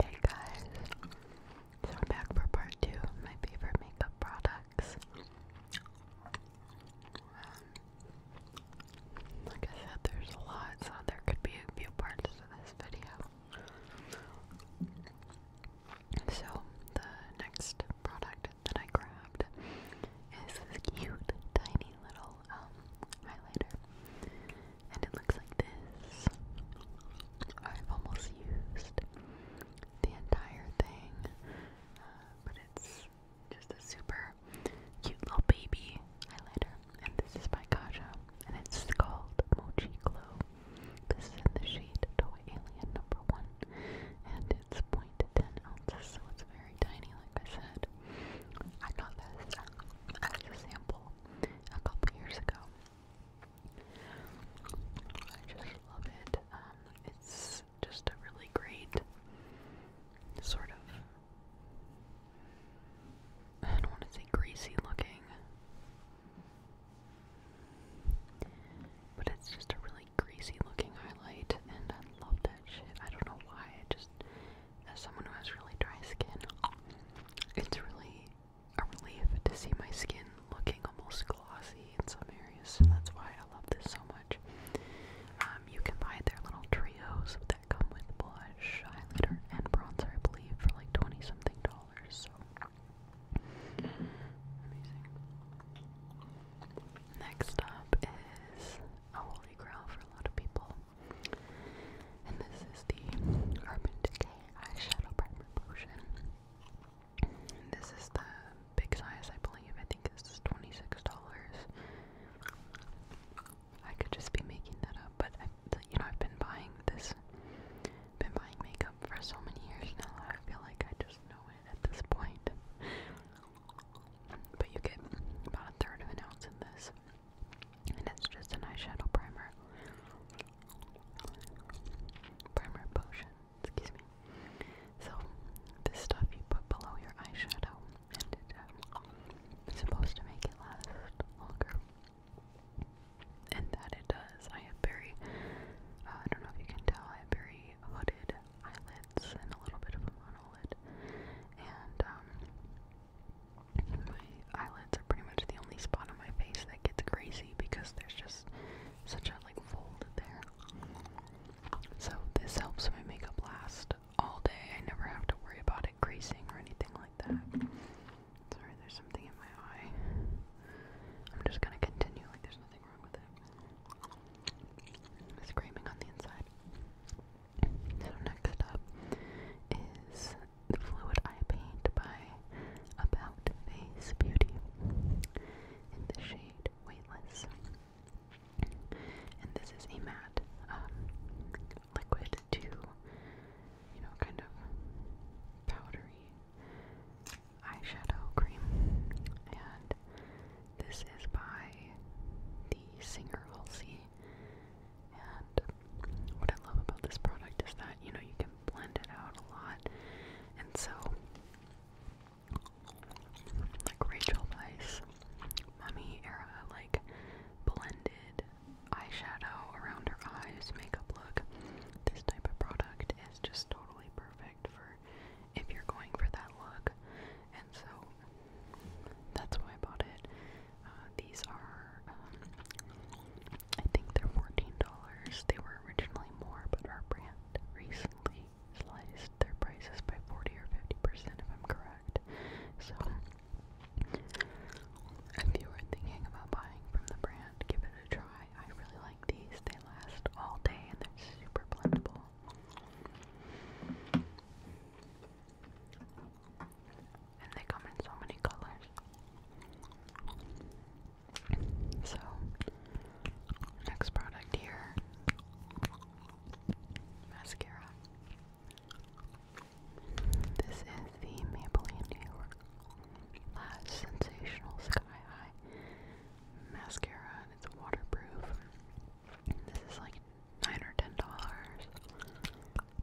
Hey guys, so we're back for part two of my favorite makeup products. Um, like I said, there's a lot, so there could be a few parts to this video. So, the next product that I grabbed is this cute, tiny little um, highlighter and it looks like this. I've almost used the entire thing, uh, but it's just a super cute little baby highlighter. And this is by Kaja, and it's called Mochi Glow. This is the shade Toy Alien number one, and it's 0.10 ounces, so it's very tiny, like I said. I got this as a sample a couple years ago. I just love it. Um, it's just a really great sort of, I don't want to say greasy looking, but it's just a really greasy looking highlight, and I love that shit. I don't know why, I just, as someone who has really dry skin, it's really a relief to see my skin looking almost glossy in some areas, that's why I love this so much. Um, you can buy their little trios that come with blush, highlighter, and bronzer, I believe, for like 20 something dollars, so amazing. Next up is a holy grail for a lot of people. And this is the Urban Decay Eyeshadow Primer Potion. this is the big size, I believe. I think this $26. I could just be making that up, but you know, I've been buying this, been buying makeup for so many years now. I feel like I just know it at this point. But you get about a third of an ounce in this, and just an eyeshadow primer. Primer potion, excuse me. So, this stuff you put below your eyeshadow, and um, supposed to make it last longer. And that it does. I have very, uh, I don't know if you can tell, I have very hooded eyelids and a little bit of a monolid. And um, my eyelids are pretty much the only spot on my face that gets crazy because there's just such a like fold there. So this helps my makeup last all day. I never have to worry about it creasing or anything like that. Sorry, there's something in my eye. I'm just gonna continue like there's nothing wrong with it. Screaming on the inside. So next up is the fluid eye paint by About Face Beauty in the shade Weightless. And this is a matte um, liquid to, you know, kind of powdery eyeshadow cream. And this is by the singer Halsey. And what I love about this product is that, you know, you can blend it out a lot. And so, like Rachel Weisz, mummy era, like blended eyeshadow around her eyes, makeup look. This type of product is just totally perfect for if you're going for that look. And so that's why I bought it. Uh, these are, um, I think they're $14. They were originally more, but our brand recently sliced their prices by 40 or 50% if I'm correct. So if you were thinking about buying from the brand, give it a try. I really like these. They last all day and they're super blendable. And they come in so many colors. So, next product here mascara. This is the Maybelline New York Lash Sensational Sky High Mascara, and it's waterproof. This is like nine or ten dollars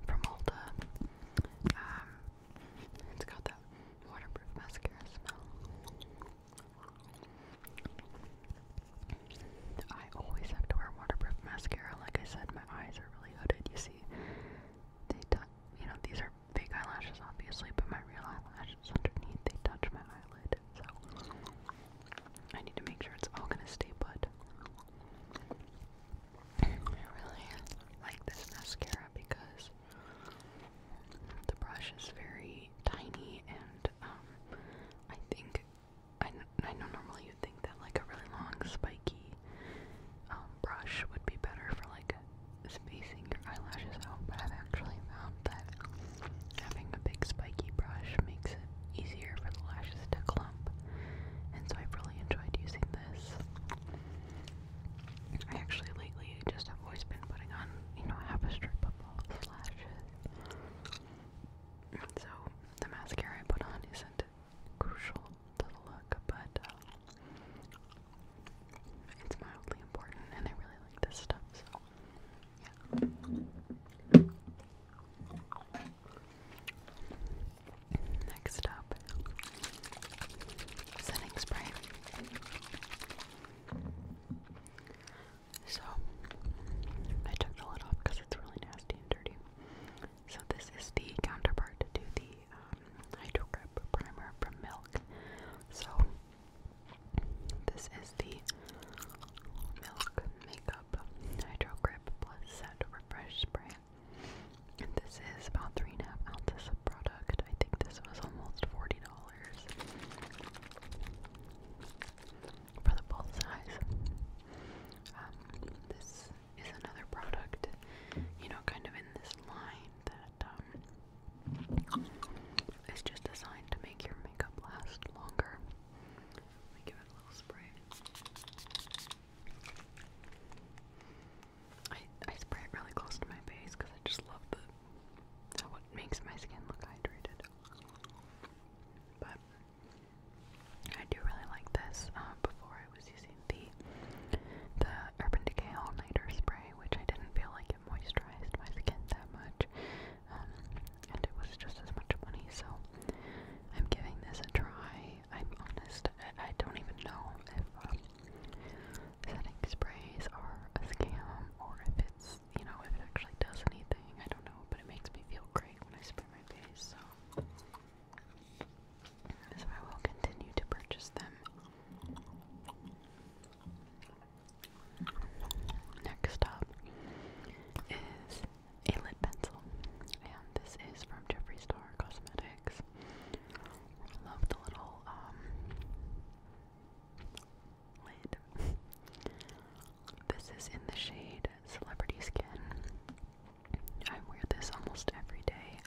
from Ulta. Um, it's got that waterproof mascara smell. I always have to wear waterproof mascara. Like I said, my eyes are really hooded. You see, they, you know, these are fake eyelashes, obviously, but my real eyelashes underneath, they touch my eyelid, so I need to make sure it's all gonna stay put. I really like this mascara because the brush is very tiny and um, I think I, I know normally you think that like a really long spiky um, brush would be better for like spacing your eyelashes out, but I've actually found that having a big spiky brush makes it easier for the lashes to clump, and so I've really enjoyed using this. I actually lately just have always been putting on, you know, half a strip of false lashes. So the mascara I put on isn't crucial to the look, but um, it's mildly important, and I really like this stuff, so Next up, setting spray. So, I took the lid because it's really nasty and dirty. So, this is the counterpart to the um, primer from Milk. So, this is the Milk Makeup Hydro Grip Plus Set Refresh Spray. this is about 3.5 ounces of product. I think this was almost $40 for the full size. Um, this is another product, you know, kind of in this line that um, it's just designed to make your makeup last longer. Let me give it a little spray. I, I spray it really close to my face because I just love the how it makes my skin look hydrated. But I do really like this. Uh, before I was using the the Urban Decay All Nighter spray, which I didn't feel like it like it moisturized my skin that much. Um, and it was just as much money, so I'm giving this a try. I'm honest, I, I don't even know if um, setting sprays are a scam or if it's, you know, if it actually does anything. I don't know, but it makes me feel great when I spray my face, so. So I will continue to purchase them. Next up is a lip pencil, and this is from Jeffree Star Cosmetics. Love the little um, lid. This is in the shade Celebrity Skin. I wear this almost every day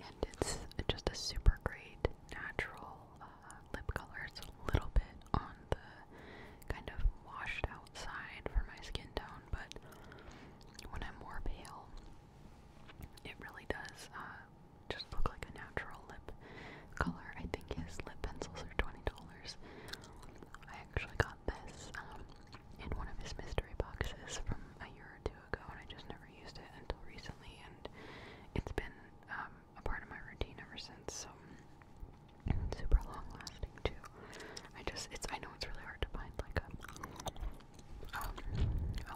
and it's just a super great natural uh, lip color. It's a little bit on the kind of washed out side for my skin tone, but when I'm more pale, it really does uh, just look like a natural lip color. I think his lip pencils are twenty dollars. I actually got this um, in one of his mystery boxes from a year or two ago, and I just never never used it until recently, and it's been um, a part of my routine ever since. So super long lasting too. I just it's I know it's really hard to find like a um,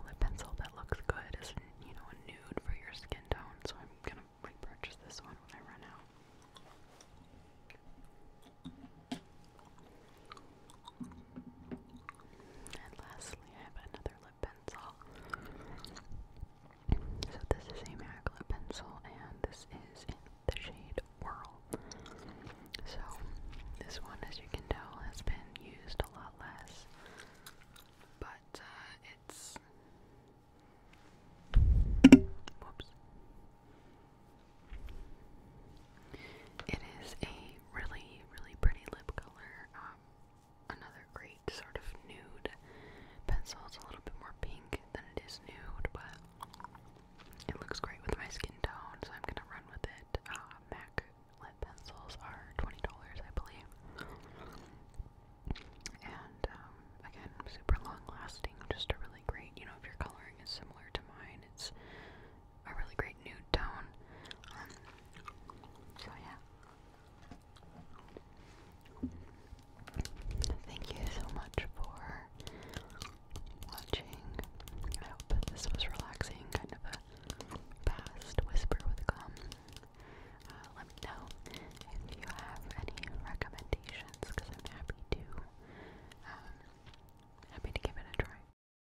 lip pencil that looks good you know a nude for your skin tone. So I'm gonna repurchase this one when I run out. And lastly, I have another lip pencil. So this is a Maclip pencil and this is in the shade Whirl. So this one, as you can tell, has been used a lot less, but uh, it's whoops. It is a really, really pretty lip color. Um, another great sort of nude pencil. It's a little bit more pink than it is nude, but it looks great with my skin tone, so I'm gonna run with it. Uh, MAC lip pencils are $20, I believe. And um, again, super long lasting, just a really great, you know, if your coloring is similar to mine, it's a really great nude tone. Um, so yeah. Thank you so much for watching. I hope this was relaxing, kind of a fast whisper with gum. Uh, let me know if you have any recommendations, because I'm happy to, um, happy to give it a try.